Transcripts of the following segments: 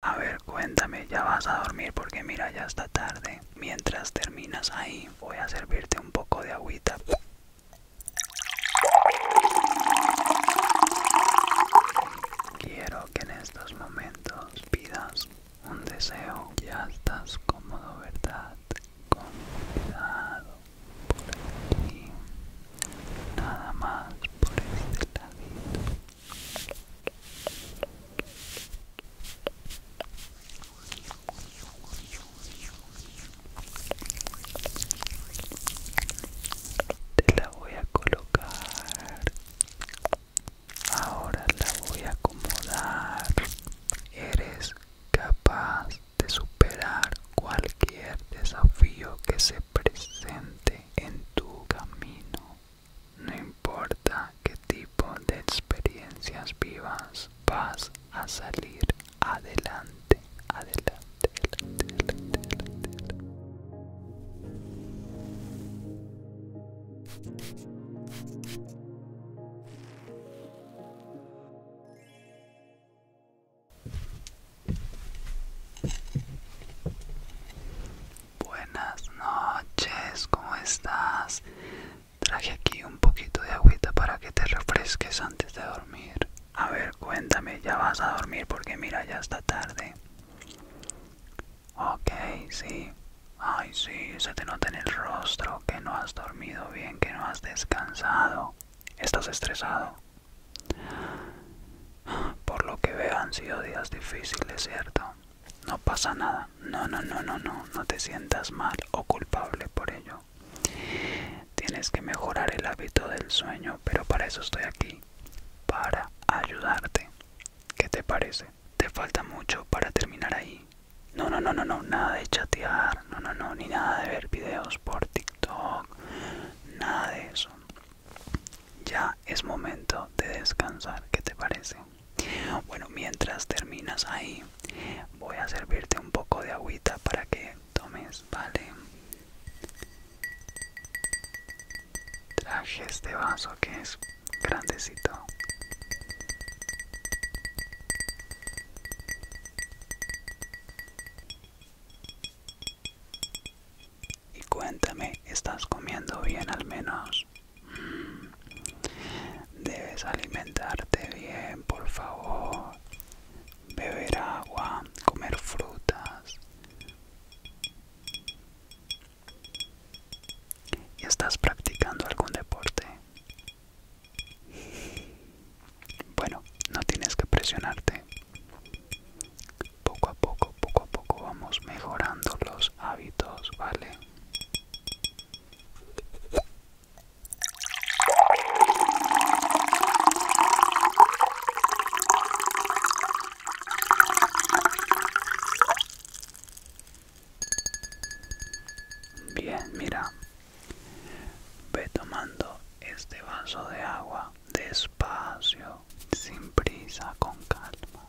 A ver, cuéntame, ya vas a dormir porque mira, ya está tarde. Mientras terminas ahí, voy a servirte un poco de agüita. Quiero que en estos momentos pidas un deseo. Ya estás cómodo, ¿verdad? Con cuidado por Nada más por este te la voy a colocar. Ahora la voy a acomodar. Eres capaz de superar cualquier desafío que se presente en tu camino. No importa qué tipo de experiencias vivas, vas a salir adelante, adelante, Buenas noches, ¿cómo estás? Traje aquí un poquito de agüita para que te refresques antes de dormir. A ver, cuéntame, ¿ya vas a dormir? Porque mira, ya está tarde. Ok, sí. Ay, sí, se te nota en el rostro que no has dormido bien, que no has descansado. Estás estresado. Por lo que veo han sido días difíciles, ¿cierto? No pasa nada. No, no, no, no, no. No te sientas mal o culpable por ello. Tienes que mejorar el hábito del sueño, pero para eso estoy aquí. Para ayudarte. ¿Qué te parece? ¿Te falta mucho para terminar ahí? No, no, no, no, no. Nada de chatear. No, no, no. Ni nada de ver videos por TikTok. Nada de eso ya es momento de descansar, ¿qué te parece? Bueno, mientras terminas ahí, voy a servirte un poco de agüita para que tomes, ¿vale? Traje este vaso que es grandecito. Y cuéntame, ¿estás comiendo bien al menos? Mm. Debes alimentarte bien, por favor. Beber agua, comer frutas. ¿Y estás practicando algún deporte? Bueno, no tienes que presionarte poco a poco, poco a poco vamos mejorando los hábitos, ¿vale? Bien, mira, ve tomando este vaso de agua despacio, sin prisa, con calma.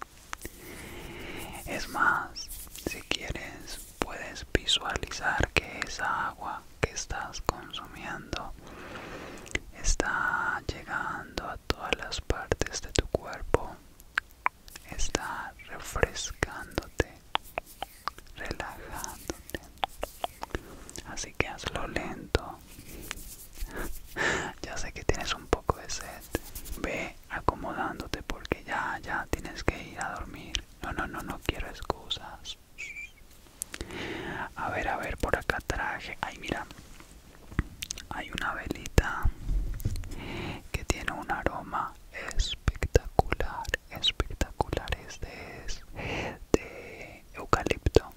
Es más, si quieres, puedes visualizar que esa agua que estás consumiendo está llegando a todas las partes de tu cuerpo, está refrescándote, relajándote. Así que hazlo lento. ya sé que tienes un poco de sed. Ve acomodándote porque ya, ya tienes que ir a dormir. No, no, no, no quiero excusas. A ver, a ver, por acá traje. Ay, mira, hay una velita que tiene un aroma espectacular, espectacular. Este es de eucalipto.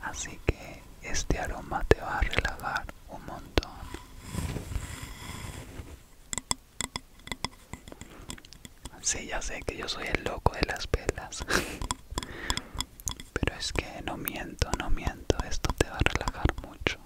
Así que este aroma te va a relajar un montón. Sí, ya sé que yo soy el loco de las pelas Pero es que no miento, no miento. Esto te va a relajar mucho.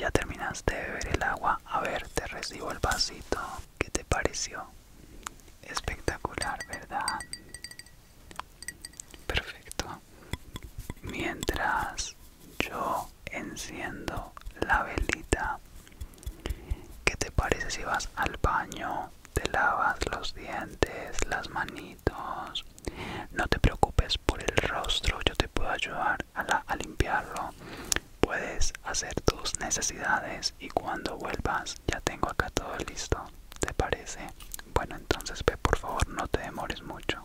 Ya terminaste de beber el agua. A ver, te recibo el vasito. ¿Qué te pareció? Espectacular, ¿verdad? Perfecto. Mientras yo enciendo la velita ¿Qué te parece si vas al baño, te lavas los dientes, las manitos? No te preocupes por el rostro, yo te puedo ayudar a, limpiarlo. Puedes hacer tus necesidades y cuando vuelvas ya tengo acá todo listo. ¿Te parece? Bueno, entonces ve por favor, no te demores mucho.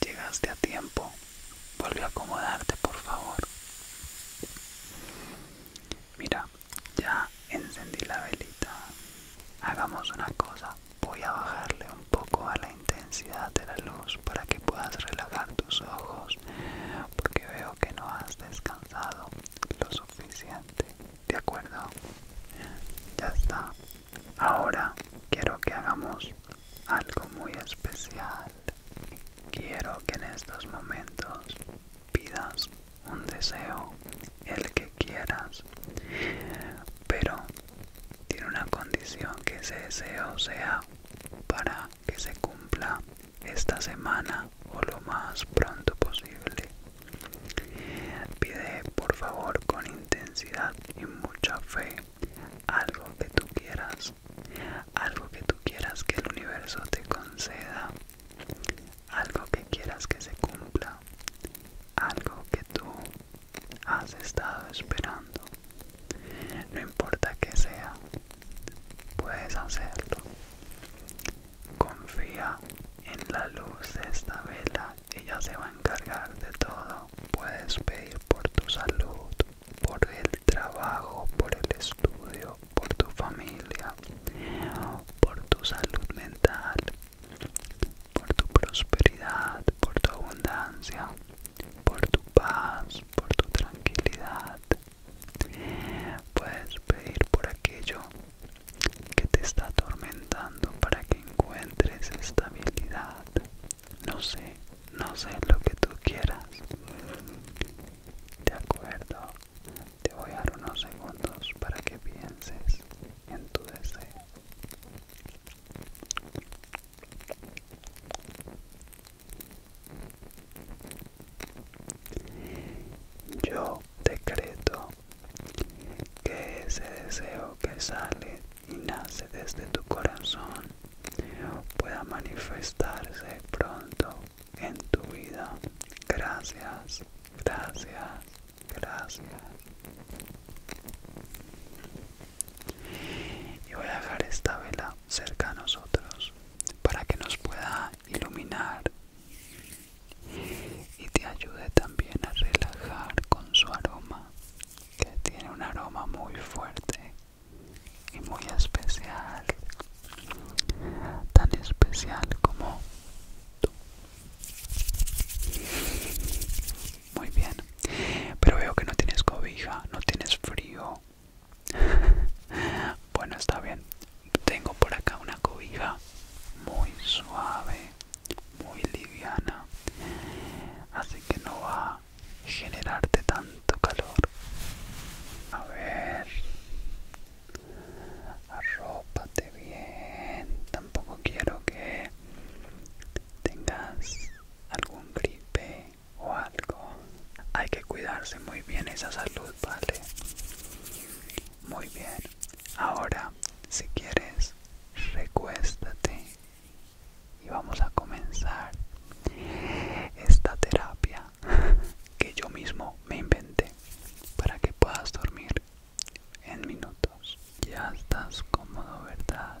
Llegaste a tiempo. Vuelve a acomodarte, por favor. Mira, ya encendí la velita. Hagamos una cosa. Voy a bajarle un poco a la intensidad de la luz para que puedas relajar tus ojos porque veo que no has descansado lo suficiente. ¿De acuerdo? Ya está. Ahora quiero que hagamos algo muy especial. Quiero que en estos momentos pidas un deseo, el que quieras, pero tiene una condición que ese deseo sea para que se cumpla esta semana o lo más pronto posible. Pide por favor con intensidad y mucha fe algo que tú quieras, algo que tú quieras que el universo te conceda, algo que quieras que se cumpla, algo que tú has estado esperando. No importa que sea, puedes hacerlo. Confía en la luz de esta vela, ella se va a encargar de todo. Puedes pedir por tu salud, por el trabajo, por el estudio, por tu familia, por tu salud mental, por tu prosperidad, por tu abundancia, por tu paz, por tu tranquilidad. Puedes pedir por aquello que te está atormentando para que encuentres estabilidad. No sé, no sé lo que tú quieras. De acuerdo, te voy a dar unos segundos para que pienses en tu deseo. Yo decreto que ese deseo que sale y nace desde tu corazón pueda manifestarse pronto en tu vida. Gracias, gracias, gracias y voy a dejar esta vela cerca a nosotros para que nos pueda iluminar y te ayude también a relajar con su aroma que tiene un aroma muy fuerte y muy especial tan especial como tú muy bien. Pero veo que no tienes cobija, no tienes frío. bueno, está bien. Tengo por acá una cobija muy suave, muy liviana. Así que no va a generarte tanto calor. A ver. Arrópate bien. Tampoco quiero que tengas algún gripe o algo. Hay que cuidarse muy bien esa salud, ¿vale? Muy bien. Ahora, si quieres, recuéstate y vamos a comenzar esta terapia que yo mismo me inventé para que puedas dormir en minutos. Ya estás cómodo, ¿verdad?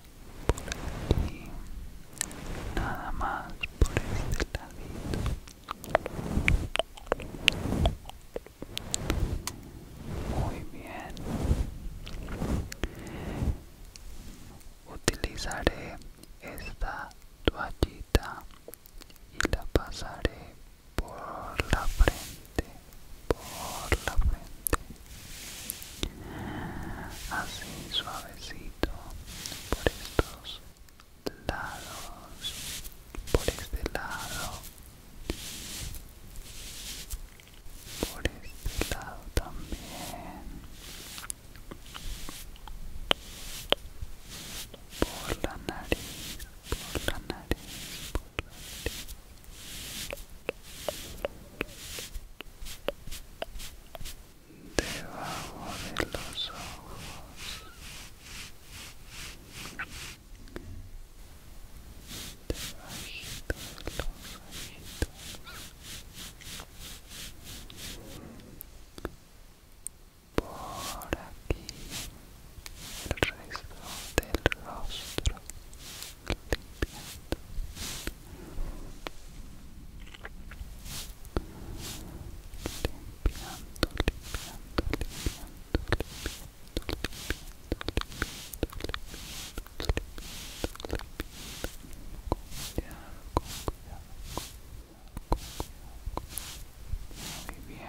por nada más por este muy bien utilizaré esta toallita y la pasaré por la frente por la frente así suavecito por estos lados, por este lado, por este lado también, por la nariz, por la nariz, por la nariz debajo de los ojos debajito de los ojitos por aquí el resto del rostro limpiando limpiando, muy bien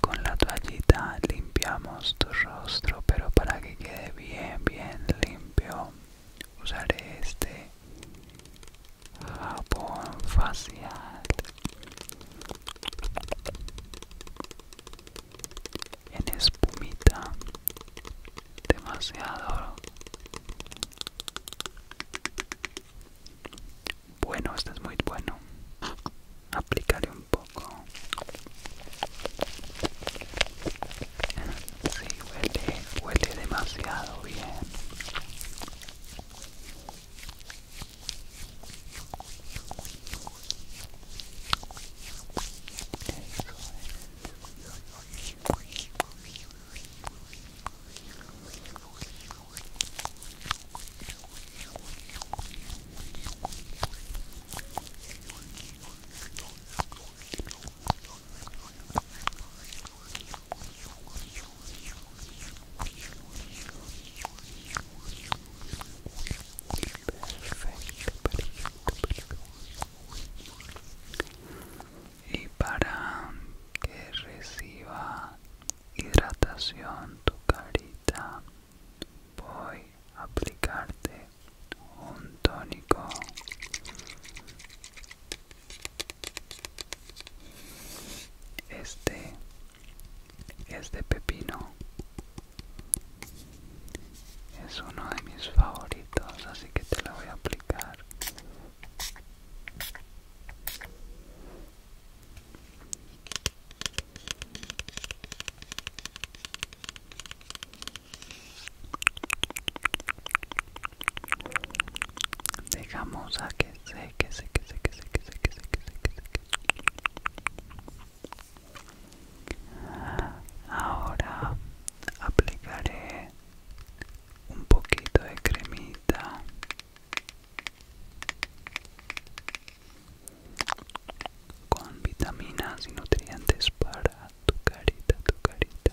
con la toallita limpiamos tu rostro pero para que quede bien bien limpio usaré este jabón facial en espumita demasiado bueno este es muy bueno aplicaré un poco Sí, huele, huele demasiado bien y para que reciba hidratación tu carita voy a aplicarte un tónico este es de pepino. Es uno de mis favoritos, así que te lo voy a aplicar. Dejamos a que seque, seque, seque, seque, seque, seque, seque, seque. Ahora aplicaré un poquito de cremita. Con vitaminas y nutrientes para tu carita, tu carita.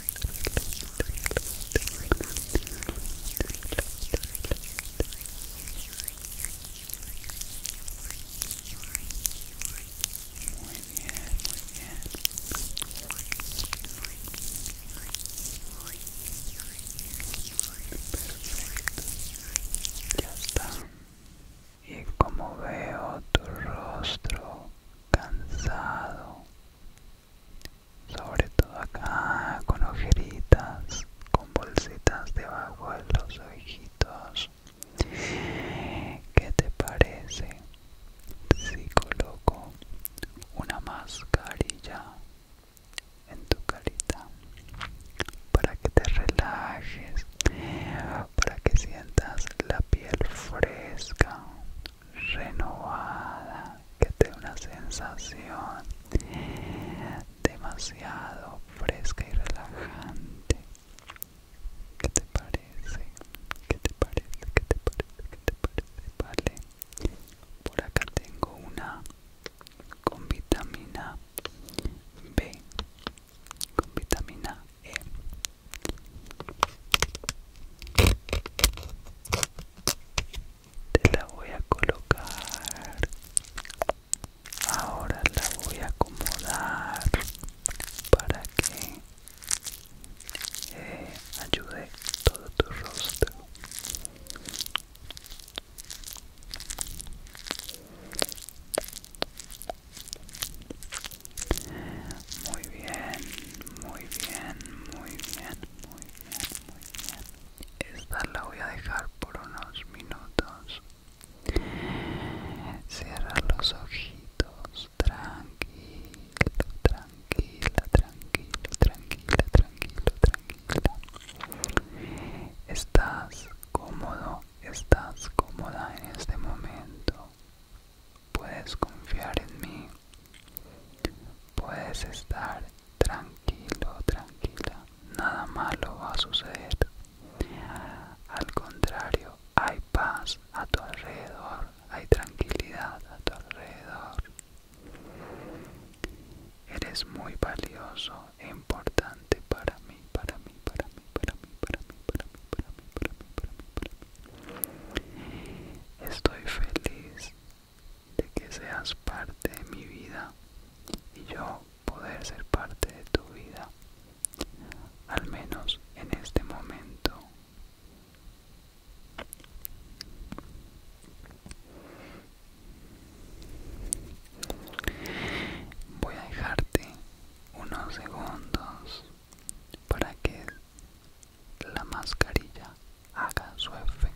muy muy bien Perfecto. Ya está. Y como veo tu rostro cansado sobre todo acá con ojeritas con bolsitas debajo de los ojitos ¿qué te parece si coloco una mascarilla en tu carita para que te relajes para que sientas la piel fresca renovada que te da una sensación demasiado fresca y relajante ¿Qué te parece? ¿Qué te parece? ¿Qué te parece? ¿Qué te parece? Vale. Por acá tengo una con vitamina B. Con vitamina te la voy a colocar. Ahora la voy a acomodar para que eh, ayude todo tu rostro. Muy bien, muy bien, muy bien, muy bien, muy bien. Esta la voy a dejar por unos minutos. Cierra los ojitos, tranquilo, tranquila, tranquilo, tranquila, tranquilo, tranquila. Estás cómodo, estás cómoda en este momento puedes confiar en mí, puedes estar tranquilo, tranquila, nada malo va a suceder. Al contrario, hay paz a tu alrededor, hay tranquilidad a tu alrededor. Eres muy valioso e importante para mí, para mí, para mí, para mí, para mí, para mí, Estoy feliz de que seas parte de mi vida y yo poder ser parte de tu vida, al menos en este momento. Voy a dejarte unos segundos para que la mascarilla haga su efecto.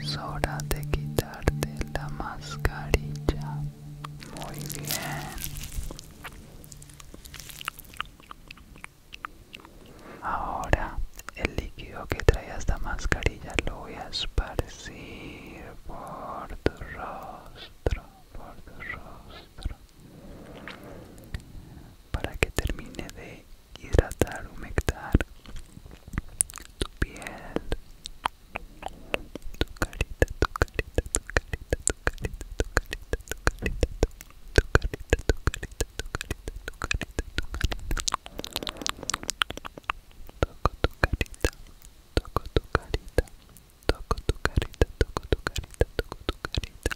Es hora de quitarte la mascarilla. Muy bien. Ahora el líquido que trae esta mascarilla lo voy a esparcir por tu rostro, por tu rostro para que termine de hidratar, humectar tu piel, tu carita, tu carita, tu carita, tu carita, tu carita, tu carita, tu carita, tu carita, tu carita, tu carita, tu carita. tu carita, tu carita, tu carita, tu carita, toco tu carita.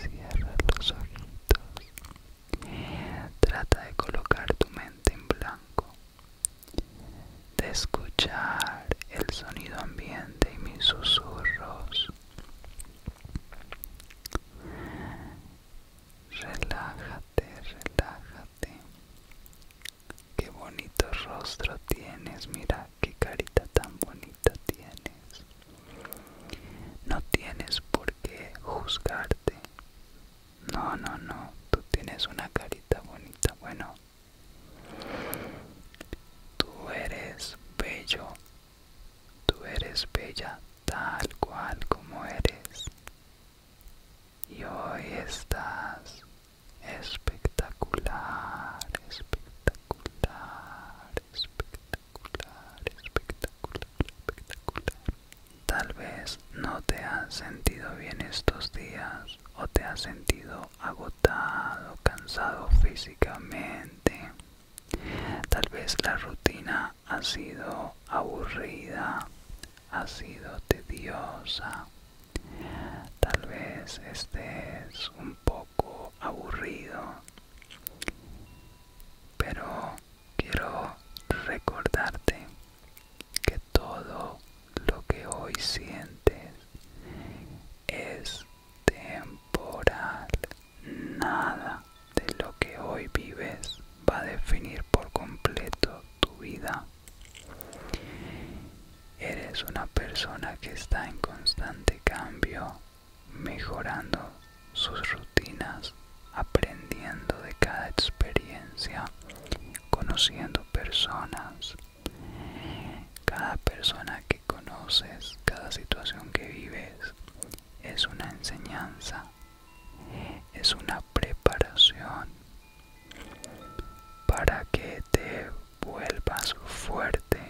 Cierra los ojitos. Trata de colocar tu mente en blanco de escuchar el sonido ambiente y mis susurros. Relájate, relájate. Qué bonito rostro tienes, mira qué carita tan bonita tienes. No tienes por qué juzgarte. No, no, no, tú tienes una carita bonita. Bueno, Tú eres bello, tú eres bella tal cual como eres. Y hoy estás espectacular, espectacular, espectacular, espectacular, espectacular. Tal vez no te has sentido bien estos días o te has sentido agotado, cansado físicamente. Tal vez la rutina ha sido aburrida, ha sido tediosa. Tal vez estés un poco aburrido. Pero quiero recordarte que todo lo que hoy sientes es temporal. Nada de lo que hoy vives va a definir por completo tu vida. Eres una persona que está en constante cambio, mejorando sus rutinas, aprendiendo de cada experiencia, conociendo personas cada persona que conoces, cada situación que vives, es una enseñanza, es una preparación para que te vuelvas fuerte,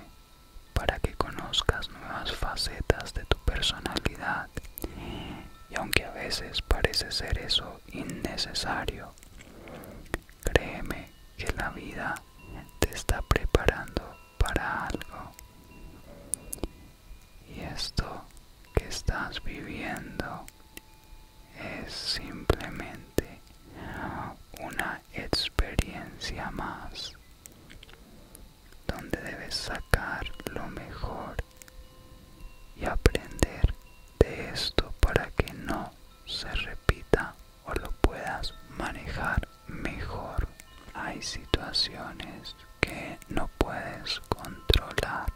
para que conozcas nuevas facetas de tu personalidad. Y aunque a veces parece ser eso innecesario, Créeme que la vida te está preparando para algo. Y esto que estás viviendo es simplemente una experiencia más donde debes sacar lo mejor y aprender de esto para que no se repita o lo puedas manejar mejor. Hay situaciones que no puedes controlar,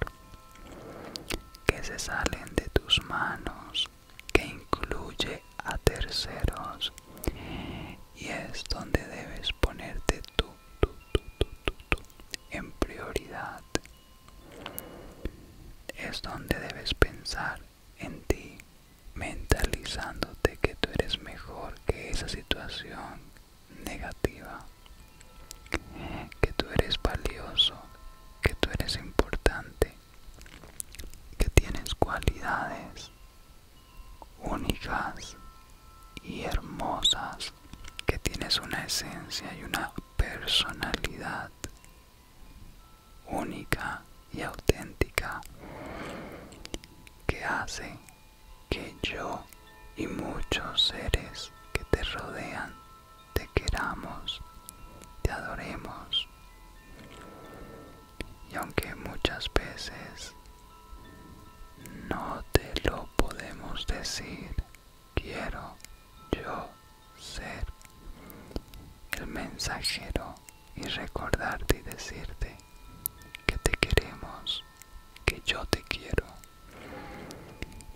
que se salen de tus manos, que incluye a terceros y es donde debes ponerte tú, tú, tú, tú, tú, en prioridad. Es donde debes pensar en ti, mentalizándote que tú eres mejor que esa situación negativa, que tú eres valioso, que tú eres importante, que tienes cualidades únicas y hermosas, que tienes una esencia y una personalidad única y auténtica que hace que yo y muchos seres que te rodean te queramos, te adoremos. Y aunque muchas veces no te lo podemos decir, quiero yo ser el mensajero y recordarte y decirte que te queremos, que yo te quiero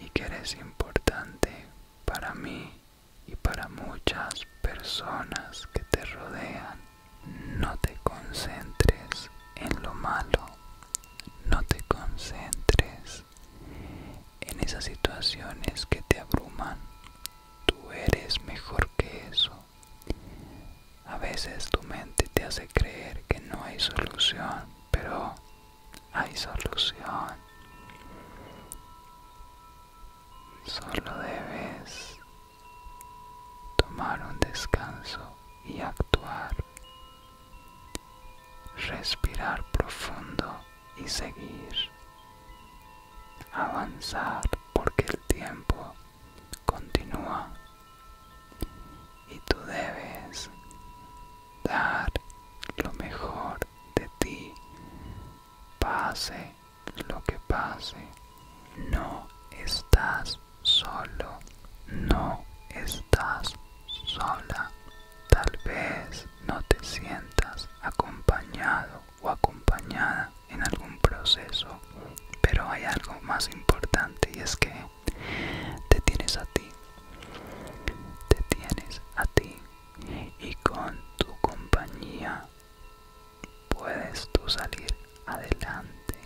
y que eres importante para mí y para muchas personas que te rodean. No te concentres en lo malo, no te concentres en esas situaciones que te abruman, Tú eres mejor que eso. A veces tu mente te hace creer que no hay solución, pero hay solución. Solo debes tomar un descanso y actuar. Respirar profundo y seguir. Avanzar porque el tiempo continúa y tú debes dar lo mejor de ti, pase lo que pase. No estás solo, no estás sola. Tal vez no te sientas acompañado o acompañada en algún proceso pero hay algo más importante y es que te tienes a ti te tienes a ti y con tu compañía puedes tú salir adelante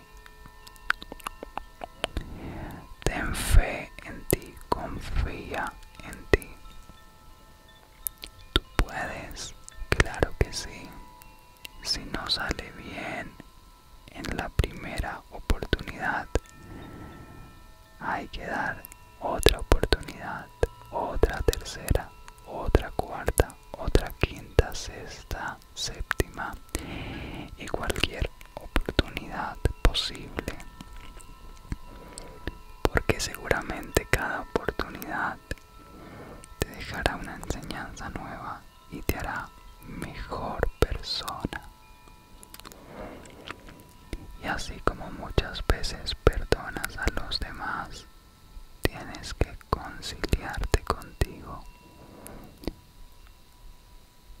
ten fe en ti confía en ti Tú puedes, claro que sí. Si no sale bien en la primera oportunidad, hay que dar otra oportunidad, otra tercera, otra cuarta, otra quinta, sexta, séptima y cualquier oportunidad posible. Porque seguramente cada oportunidad te dejará una enseñanza nueva y te hará mejor persona. Y así como muchas veces perdonas a los demás, tienes que conciliarte contigo.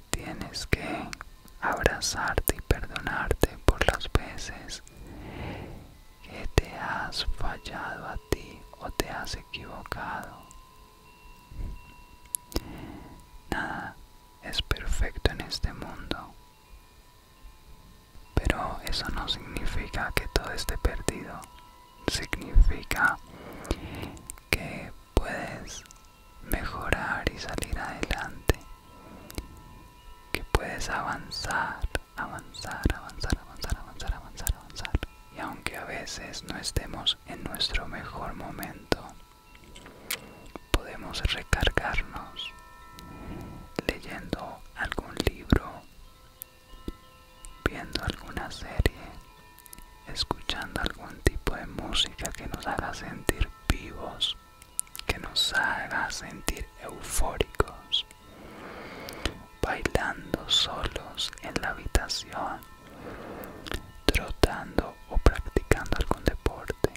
Tienes que abrazarte y perdonarte por las veces que te has fallado a ti o te has equivocado. Nada es perfecto en este mundo. Pero eso no significa que todo esté perdido. Significa que puedes mejorar y salir adelante. Que puedes avanzar avanzar, avanzar, avanzar, avanzar, avanzar, avanzar. Y aunque a veces no estemos en nuestro mejor momento, podemos recargarnos leyendo algún libro, viendo alguna serie, escuchando algún tipo de música que nos haga sentir vivos, que nos haga sentir eufóricos bailando solos en la habitación, trotando o practicando algún deporte,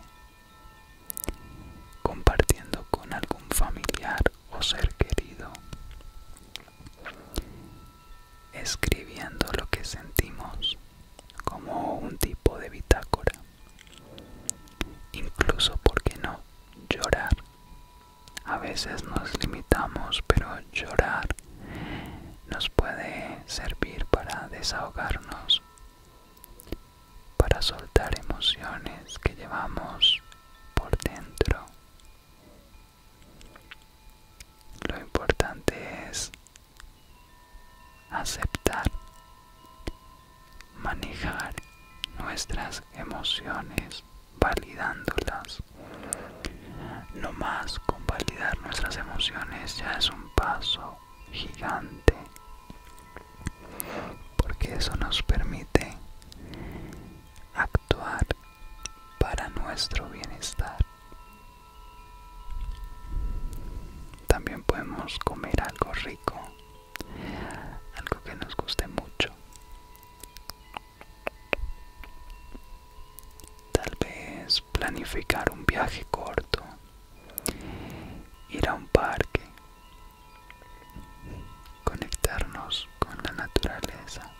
compartiendo con algún familiar o ser querido, escribiendo lo que sentimos como un tipo de bitácora, incluso, ¿por qué no? Llorar a veces nos limitamos, pero llorar nos puede servir para desahogarnos, para soltar emociones que llevamos por dentro. Lo importante es aceptar manejar nuestras emociones validándolas. No más con validar nuestras emociones ya es un paso gigante, porque eso nos permite actuar para nuestro bienestar. También podemos comer algo rico algo que nos guste mucho tal vez planificar un viaje corto ir a un parque conectarnos con la naturaleza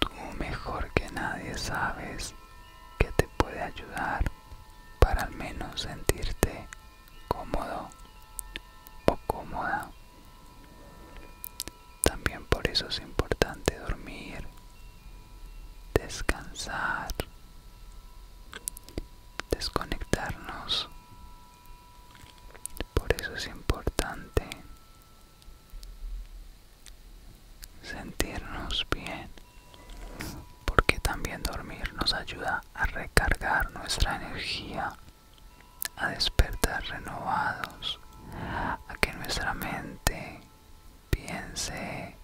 tú mejor que nadie sabes que te puede ayudar para al menos sentirte cómodo o cómoda. También por eso es importante dormir, descansar, desconectarnos. Por eso es importante sentirnos bien, porque también dormir nos ayuda a recargar nuestra energía a despertar renovados, a que nuestra mente piense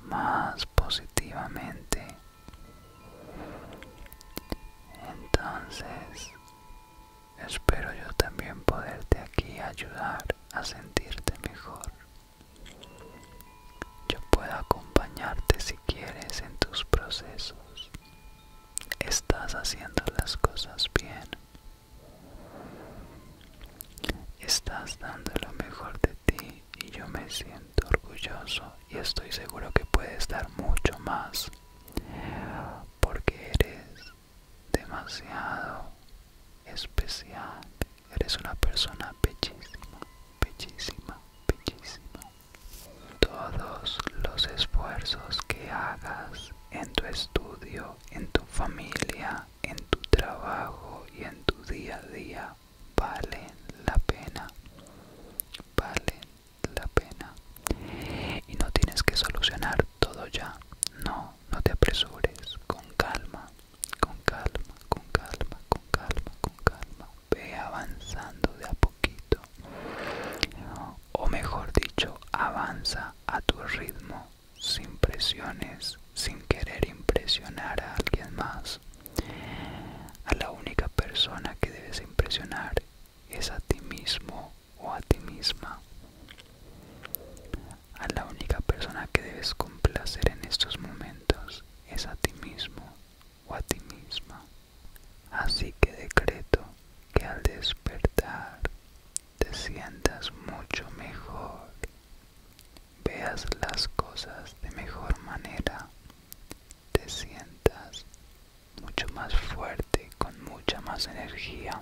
más positivamente. Entonces, espero yo también poderte aquí ayudar a sentirte mejor. Yo puedo acompañarte si quieres en tus procesos. Estás haciendo las cosas bien. Estás dando lo mejor de ti y yo me siento orgulloso y estoy seguro que puedes dar mucho más porque eres demasiado especial. Eres una persona bellísima, bellísima, bellísima. Todos los esfuerzos que hagas en tu estudio, en tu familia, en tu trabajo y en tu día a día valen la pena. Valen la pena. Y no tienes que solucionar todo ya. No, no te apresures. Con calma, con calma, con calma, con calma, con calma. Ve avanzando de a poquito o mejor dicho, avanza a tu ritmo, sin presiones, sin querer impresionar a alguien más. A la única persona que debes impresionar es a ti mismo o a ti misma. A la única persona que debes complacer en estos momentos es a ti mismo o a ti misma. Así que decreto que al despertar te sientas mucho mejor, veas las cosas de mejor manera, te sientas mucho más fuerte, con mucha más energía.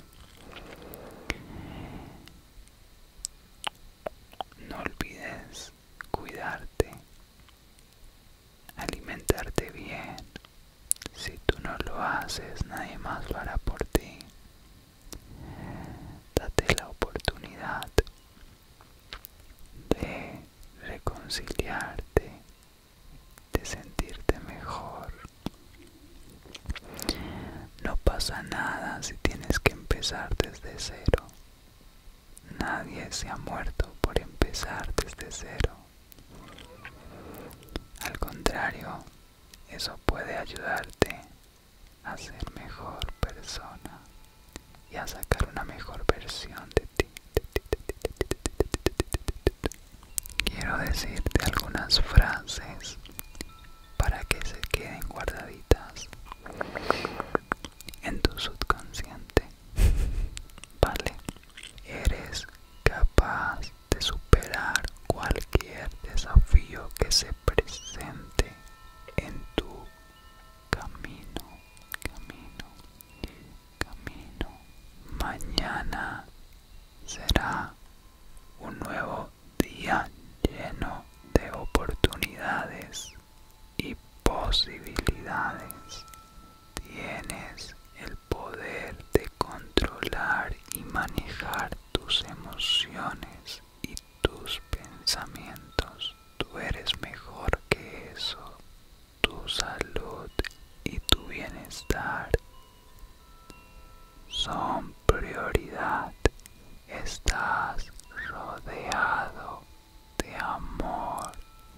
No olvides cuidarte, alimentarte bien. Si tú no lo haces, nadie más lo hará por ti. Date la oportunidad de reconciliarte, de sentirte mejor. No pasa nada si tienes que empezar desde cero. Nadie se ha muerto por empezar desde cero. Al contrario, eso puede ayudarte a ser mejor persona y a sacar una mejor versión de ti. Quiero decirte algunas frases para que se queden guardaditas en tu subconsciente. Vale, eres capaz de superar cualquier desafío que se presente en tu camino, camino, camino. Mañana será un nuevo día lleno de oportunidades y posibilidades. Tienes el poder de controlar y manejar tus emociones y tus pensamientos. Tú eres mejor que eso. Tu salud y tu bienestar son prioridad. Estás rodeado de amor,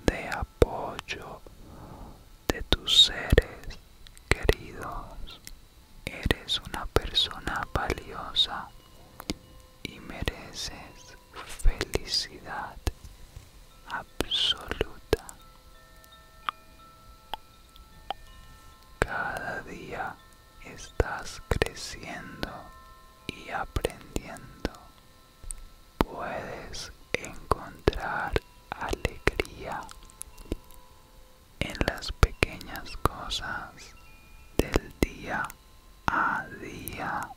de apoyo de tus seres queridos, eres una persona valiosa y mereces felicidad absoluta. Cada día estás creciendo y aprendiendo puedes encontrar alegría en las pequeñas cosas del día a día.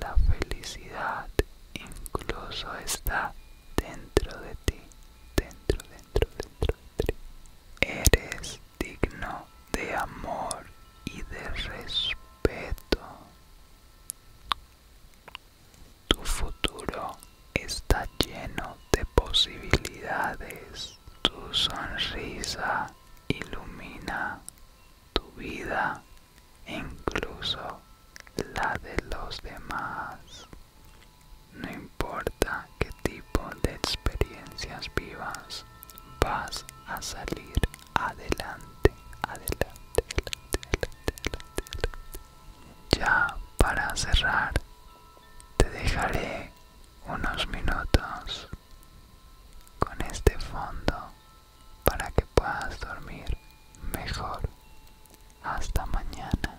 La felicidad incluso está dentro de ti, dentro, dentro, dentro Eres digno de amor y de respeto. Tu futuro está lleno de posibilidades. Tu sonrisa ilumina tu vida, incluso la de los demás. No importa qué tipo de experiencias vivas, vas a salir adelante, adelante, adelante, adelante, adelante. Ya para cerrar te dejaré unos minutos con este fondo para que puedas dormir mejor. Hasta mañana.